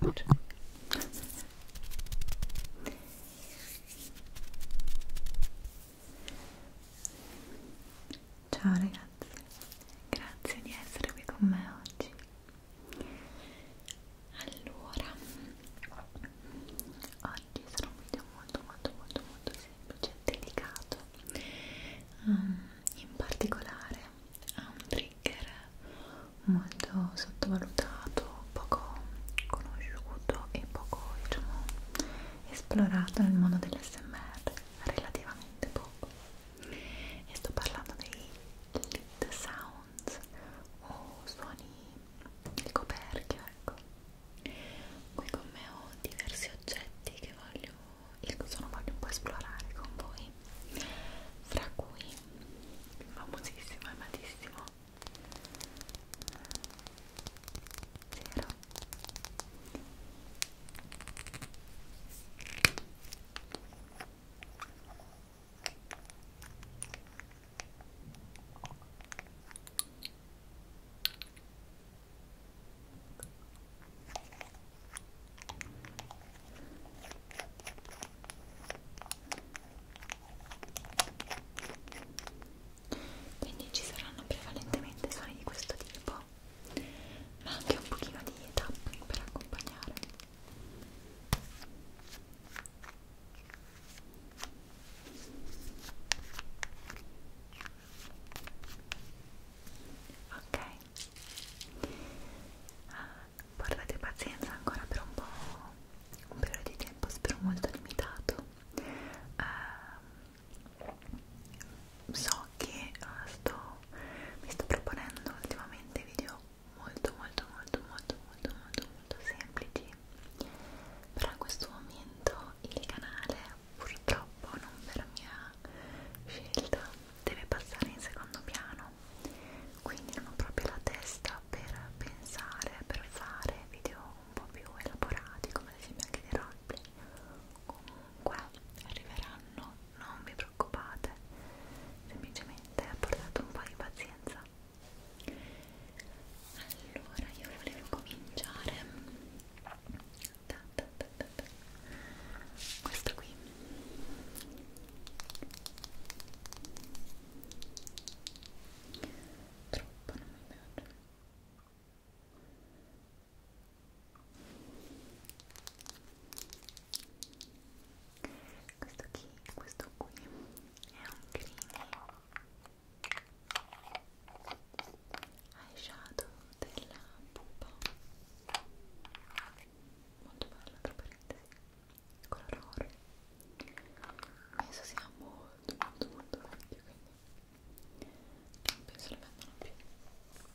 Good. Ciao ragazzi, grazie di essere qui con me oggi. Allora, oggi sarà un video molto molto molto molto semplice e delicato. Um, in particolare ha un trigger molto sottovalutato, poco conosciuto e poco diciamo, esplorato nel mondo dell'SMR, relativamente poco. E sto parlando dei lit sounds o suoni di coperchio, ecco. Qui con me ho diversi oggetti che voglio il sono voglio un po' esplorare con voi fra cui il famosissimo e amatissimo zero quindi ci saranno prevalentemente suoni di questo tipo ma anche un pochino di tapping per accompagnare ok portate ah, pazienza ancora per un po' un periodo di tempo spero molto limitato uh, so che uh, sto, mi sto proponendo ultimamente video molto molto molto molto molto molto molto semplici però in questo momento il canale purtroppo non per mia scelta deve passare in secondo piano quindi non ho proprio la testa per pensare, per fare video un po' più elaborati come ad esempio anche dei roleplay comunque arriveranno, non vi preoccupate semplicemente portate un po' di pazienza allora io volevo cominciare ta, ta, ta, ta, ta. questo qui troppo non mi piace questo qui questo qui è un creamy eyeshadow della pupa molto bello tra parentesi color oro penso sia molto molto molto vecchio quindi non penso lo vendano più Ecco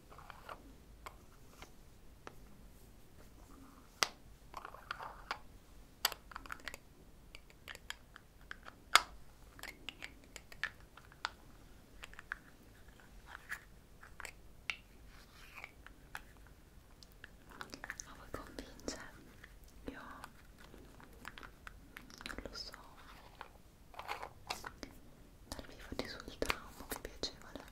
Ma voi convince? Io non lo so dal vivo risulta un po' più piacevole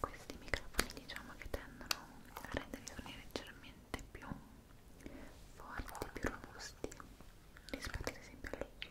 questi microfoni diciamo che tendono a rendere i suoni leggermente più forti, più robusti rispetto ad esempio a lei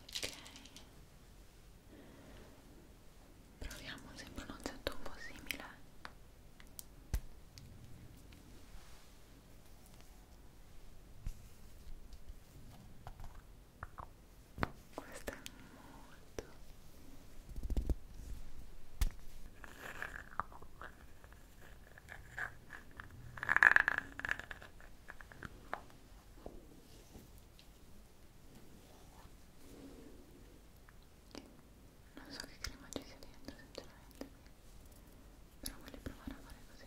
ok proviamo sempre un oggetto un po' simile questo è molto non so che crema ci sia dentro, sinceramente, però voglio provare a fare così.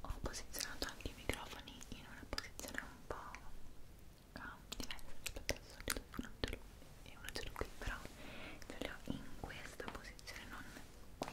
Ho posizionato anche i microfoni in una posizione un po' ah, diversa rispetto al solito, uno ce l'ho qui, però ce li ho in questa posizione, non qui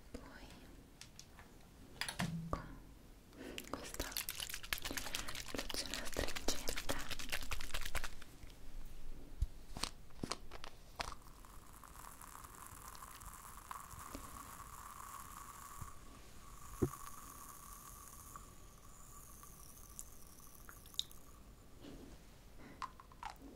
poi con questa lucina stringente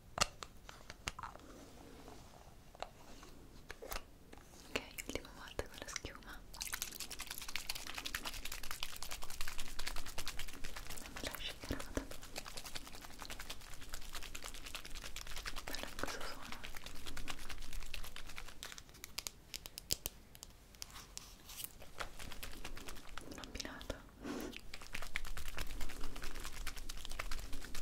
Ok, ultima volta con la schiuma. Andiamo a scegliere la foto. Guarda cosa suona. Un abbinato.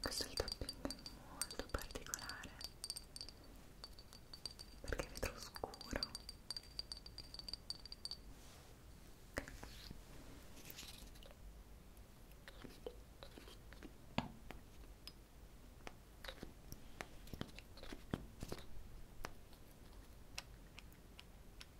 questo è il tapping è molto particolare perché è vetro scuro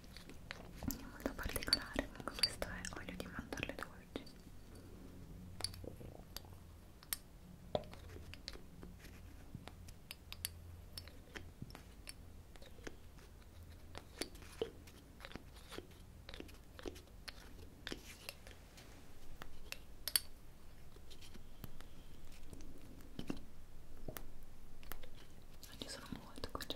è molto particolare comunque questo è olio di mandorle dolci ci sono molto concentrata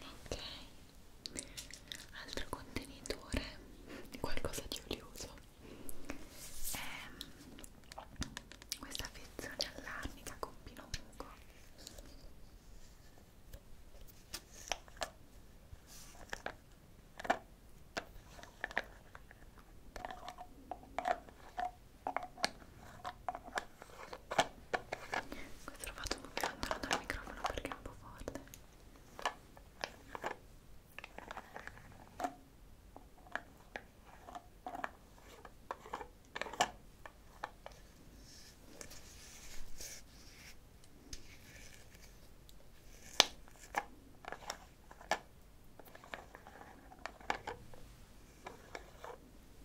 ok altro contenitore di qualcosa di olioso è ehm, questa fezione all'arnica con pino muco ok questo l'ho fatto un po' lontano dal microfono perché è un po' forte. Ecco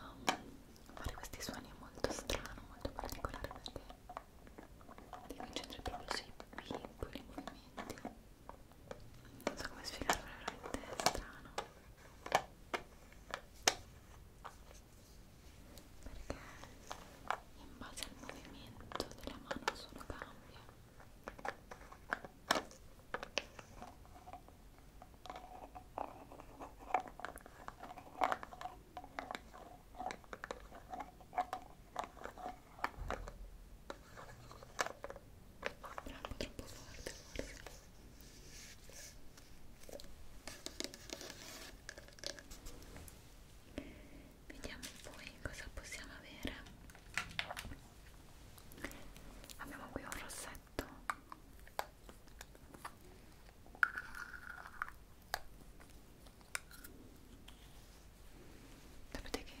um, fare questi suoni è molto strano, molto particolare perché devi concentrare proprio sui piccoli movimenti non so come spiegarlo, è veramente strano perché in base al movimento della mano solo cambia troppo forte forse vediamo poi cosa possiamo avere abbiamo qui un rossetto sapete che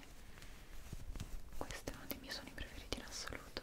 questo è uno dei miei suoni preferiti in assoluto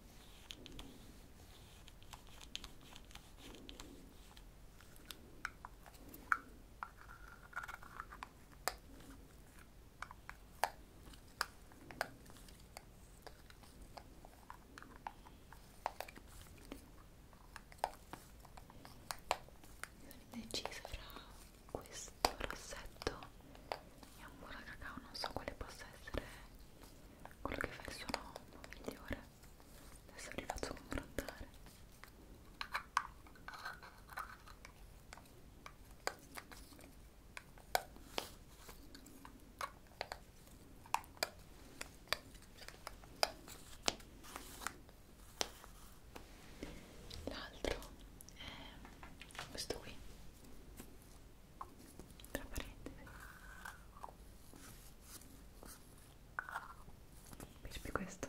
Decisa fra questo rossetto e un burro cacao, non so quale possa essere quello che fa il suo nonno migliore adesso li faccio confrontare L'altro è questo qui tra parentesi perché questo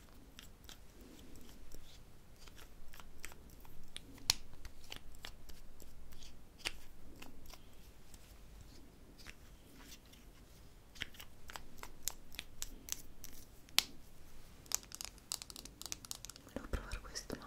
Devo provare questo, no?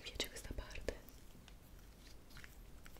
Mi piace questa parte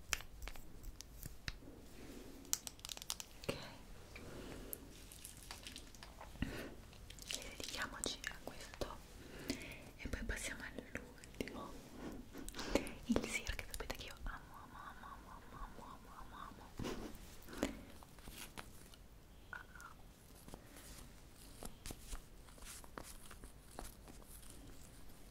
ok e dedichiamoci a questo e poi passiamo all'ultimo il sir che sapete che io amo amo amo amo amo amo amo amo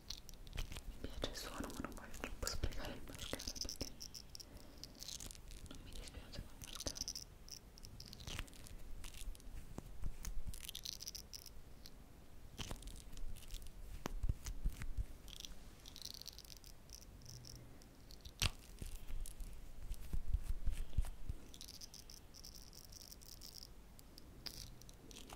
mi piace il suono ma non voglio troppo spiegare il mascara perché non mi dispiace con il mascara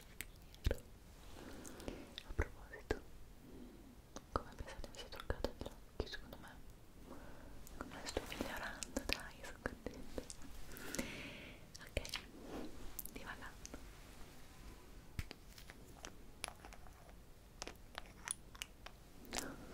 nero a proposito come pensate mi sia truccato gli occhi secondo me come sto migliorando dai sono contenta ok divagando Adoro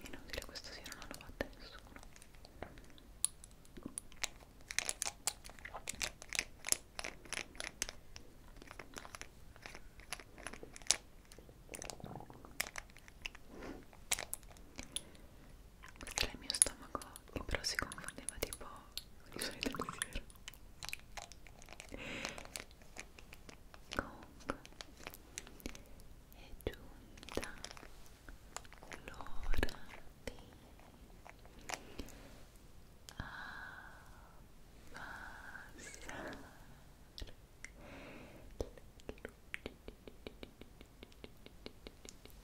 Inutile questo sì, non l'hanno fatto nessuno. Questo è il mio stomaco e però si confondeva tipo con i suoi pensieri comunque è giunta l'ora di abbassare le luci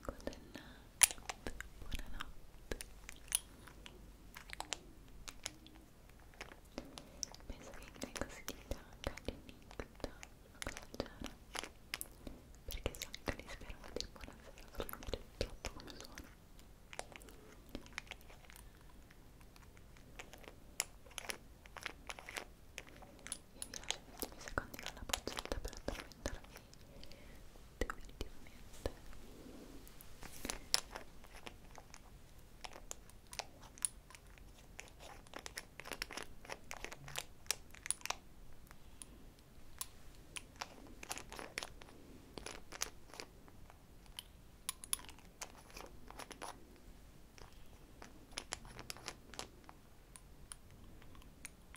Buonanotte, buonanotte. Penso che in greco si dica Kalinikta, una cosa del genere. Perché so che Kalispera vuol dire buonasera, però non è troppo come suona vi lascio gli ultimi secondi con la boccetta per addormentarvi definitivamente Ecco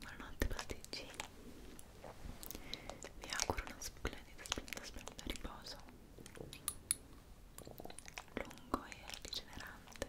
Buonanotte pasticcini Vi auguro una splendida, splendida, splendida riposo lungo e rigenerante